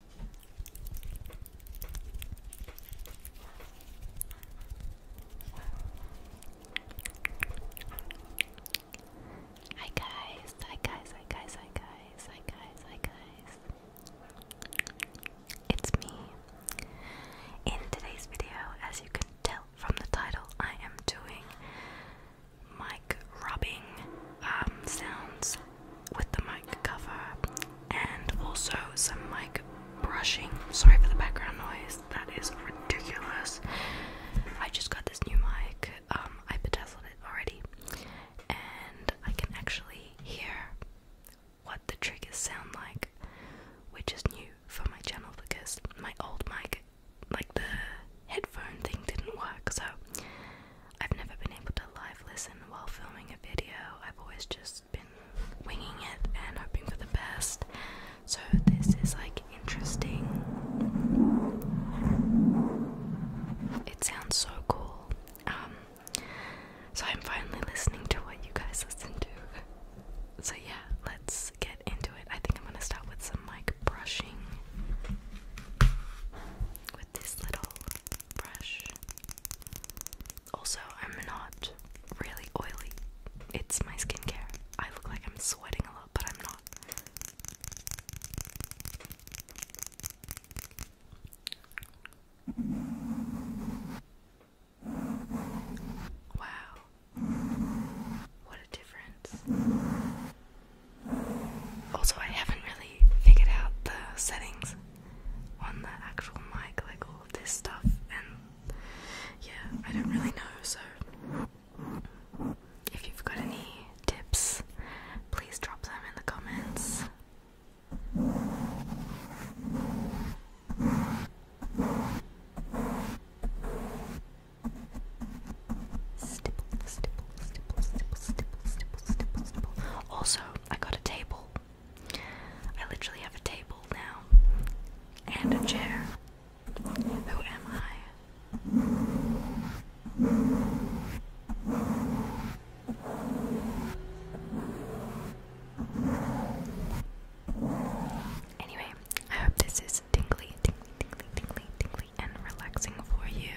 Hi guys, hi guys, hi guys, hi guys, hi guys, hi guys. It's me. In today's video, as you can tell from the title, I am doing mic rubbing um, sounds with the mic cover and also some mic brushing. Sorry for the background noise, that is ridiculous. I just got this new mic, um, I put I on it already, and I can actually hear what the triggers sound like, which is new for my channel because my old mic, like the headphone thing, didn't work. So I've never been able to live listen while filming a video. I've always just been winging it and hoping for the best. So this is like interesting. It sounds so cool. Um, so I'm finally listening to what you guys listen to. So yeah, let's get into it. I think I'm gonna start with some like brushing with this little also, I'm not really oily. It's my skincare. I look like I'm sweating a lot, but I'm not. Wow. What a difference. Also, I haven't really figured out the settings on the actual mic, like all this stuff, and yeah, I don't really know. So, if you've got any tips, please drop them in the comments. Stipple, stipple, stipple, stipple, stipple, stipple, stipple. Also, I got a table. I literally have a table now and a chair. Who am I? Anyway, I hope this is tingly, tingly, tingly, tingly, tingly, and relaxing for you.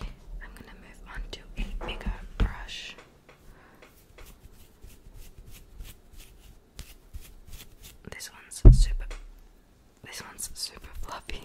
Okay, I'm gonna move on to a bigger brush. This one's super. This one's super fluffy.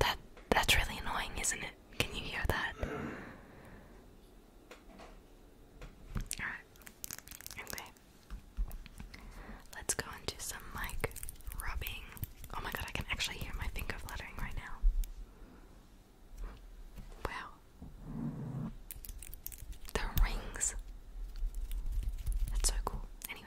That that's really annoying, isn't it? Can you hear that? Alright. Okay. Let's go and some mic rubbing. Oh my god, I can actually hear my finger fluttering right now. Wow. The rings. That's so cool. Anyway.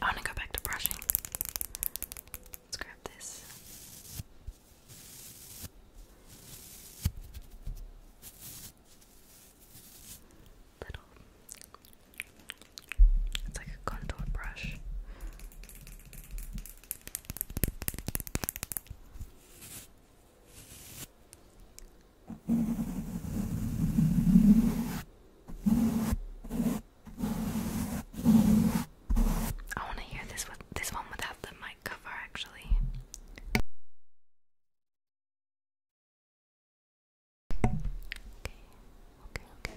I want to go back to brushing. Let's grab this. Little. It's like a contour brush. I want to hear this with this one without the mic cover actually. Okay, okay, okay.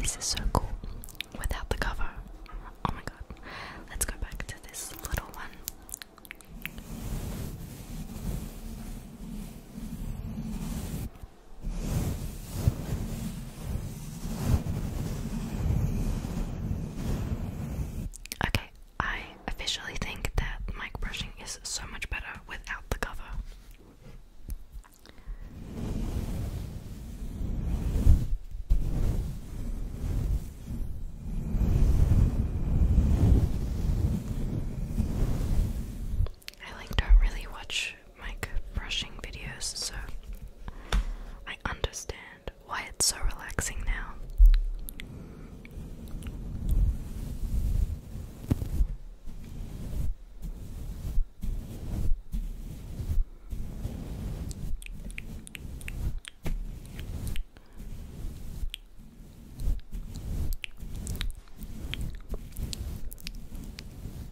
This is so cool without the cover. Oh my god. Let's go back to this little one. Okay, I officially think that mic brushing is so much better without the cover. I like don't really watch make brushing videos, so I understand why it's so relaxing now.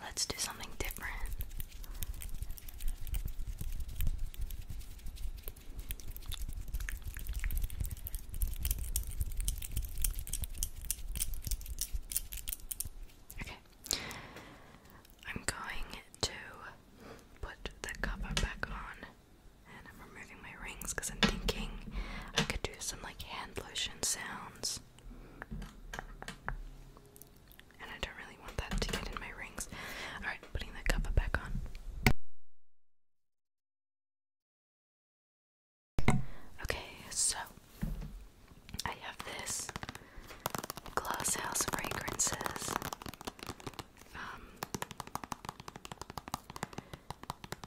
Let's do something different. Okay. I'm going to put the cover back on and I'm removing my rings because I'm thinking I could do some like hand lotion sounds and I don't really want that to get in my rings. Alright, putting the cover back on. Okay, so I have this Glass House Fragrances. Um,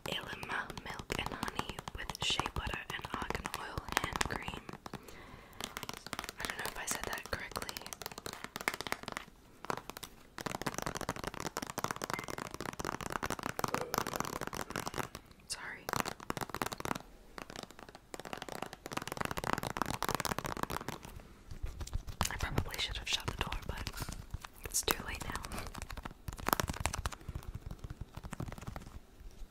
Illuma milk and honey with shea butter and argan oil hand cream. I don't know if I said that correctly. Sorry. I probably should have shut the door, but it's too late now.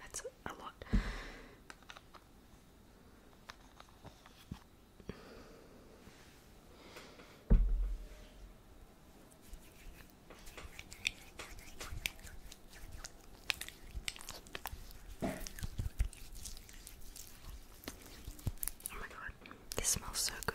That's a lot. Oh my god, this smells so good.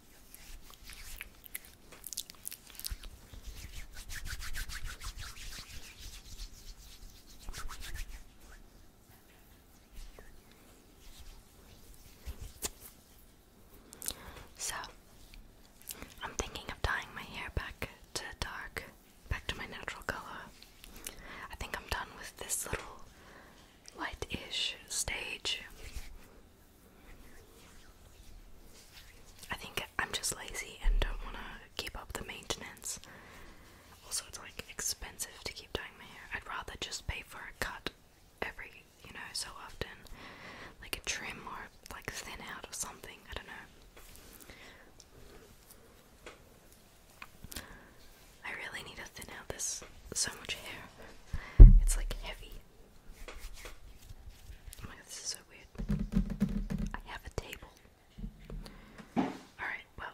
So, I'm thinking of dyeing my hair back to dark, back to my natural color. I think I'm done with this little light ish stage. I think I'm just lazy and don't want to keep up the maintenance. Also, it's like expensive to keep dyeing my hair. I'd rather just pay for a cut every, you know, so often. Like a trim or like thin out or something. I don't know. I really need to thin out this so much hair. It's like heavy. Oh my god, this is so weird. I have a table. Alright, well.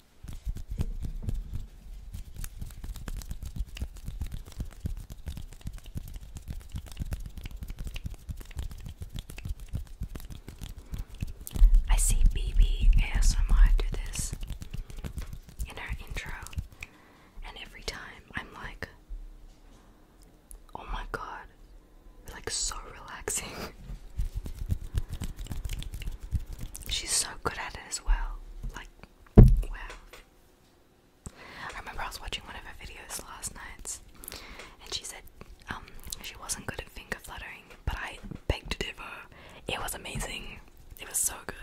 I see BB do this in her intro, and every time I'm like, oh my god, like so relaxing. She's so good at it as well. Like, wow. I remember I was watching one of her videos last night, and she said um, she wasn't good at finger fluttering, but I begged to differ. It was amazing. It was so good.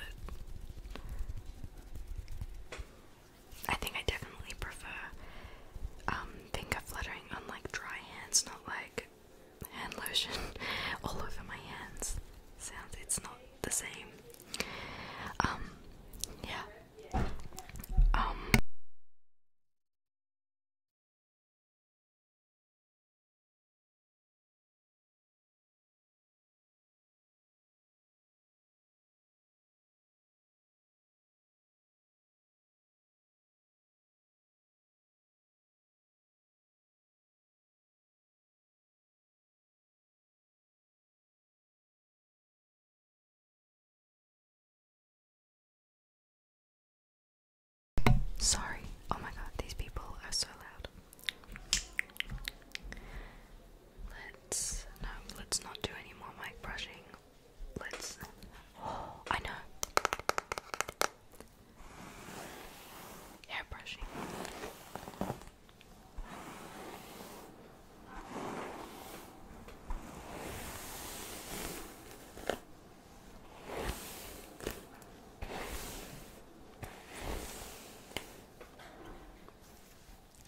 I think I definitely prefer um, finger fluttering on like dry hands, not like hand lotion all over my hands. Sounds it's not the same. Um, yeah. Um. Sorry. Oh my god, these people are so loud. Let's no, let's not do any more mic brushing. Let's. I know hair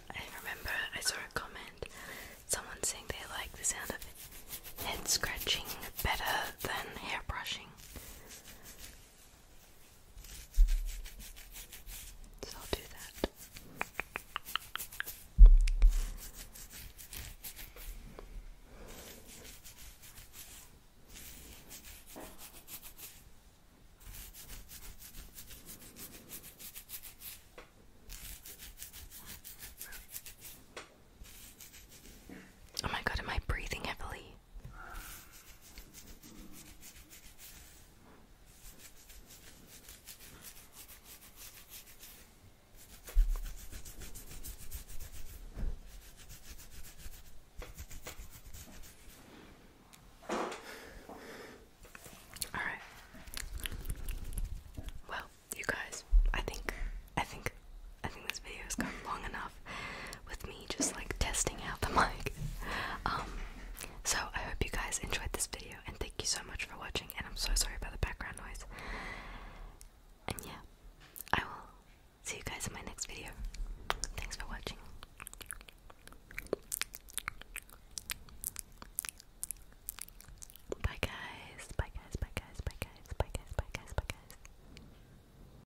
I remember I saw a comment, someone saying they like the sound of head scratching better than hair brushing. So I'll do that. Oh my god, am I breathing heavily? All right. Well, you guys, I think, I think, I think this video has gone long enough with me just like testing out the mic. Um, so I hope you guys enjoyed this video and thank you so much for watching and I'm so sorry about the background noise. And yeah, I will see you guys in my next video. Thanks for watching. Bye guys, bye guys, bye guys, bye guys, bye guys, bye guys, bye guys.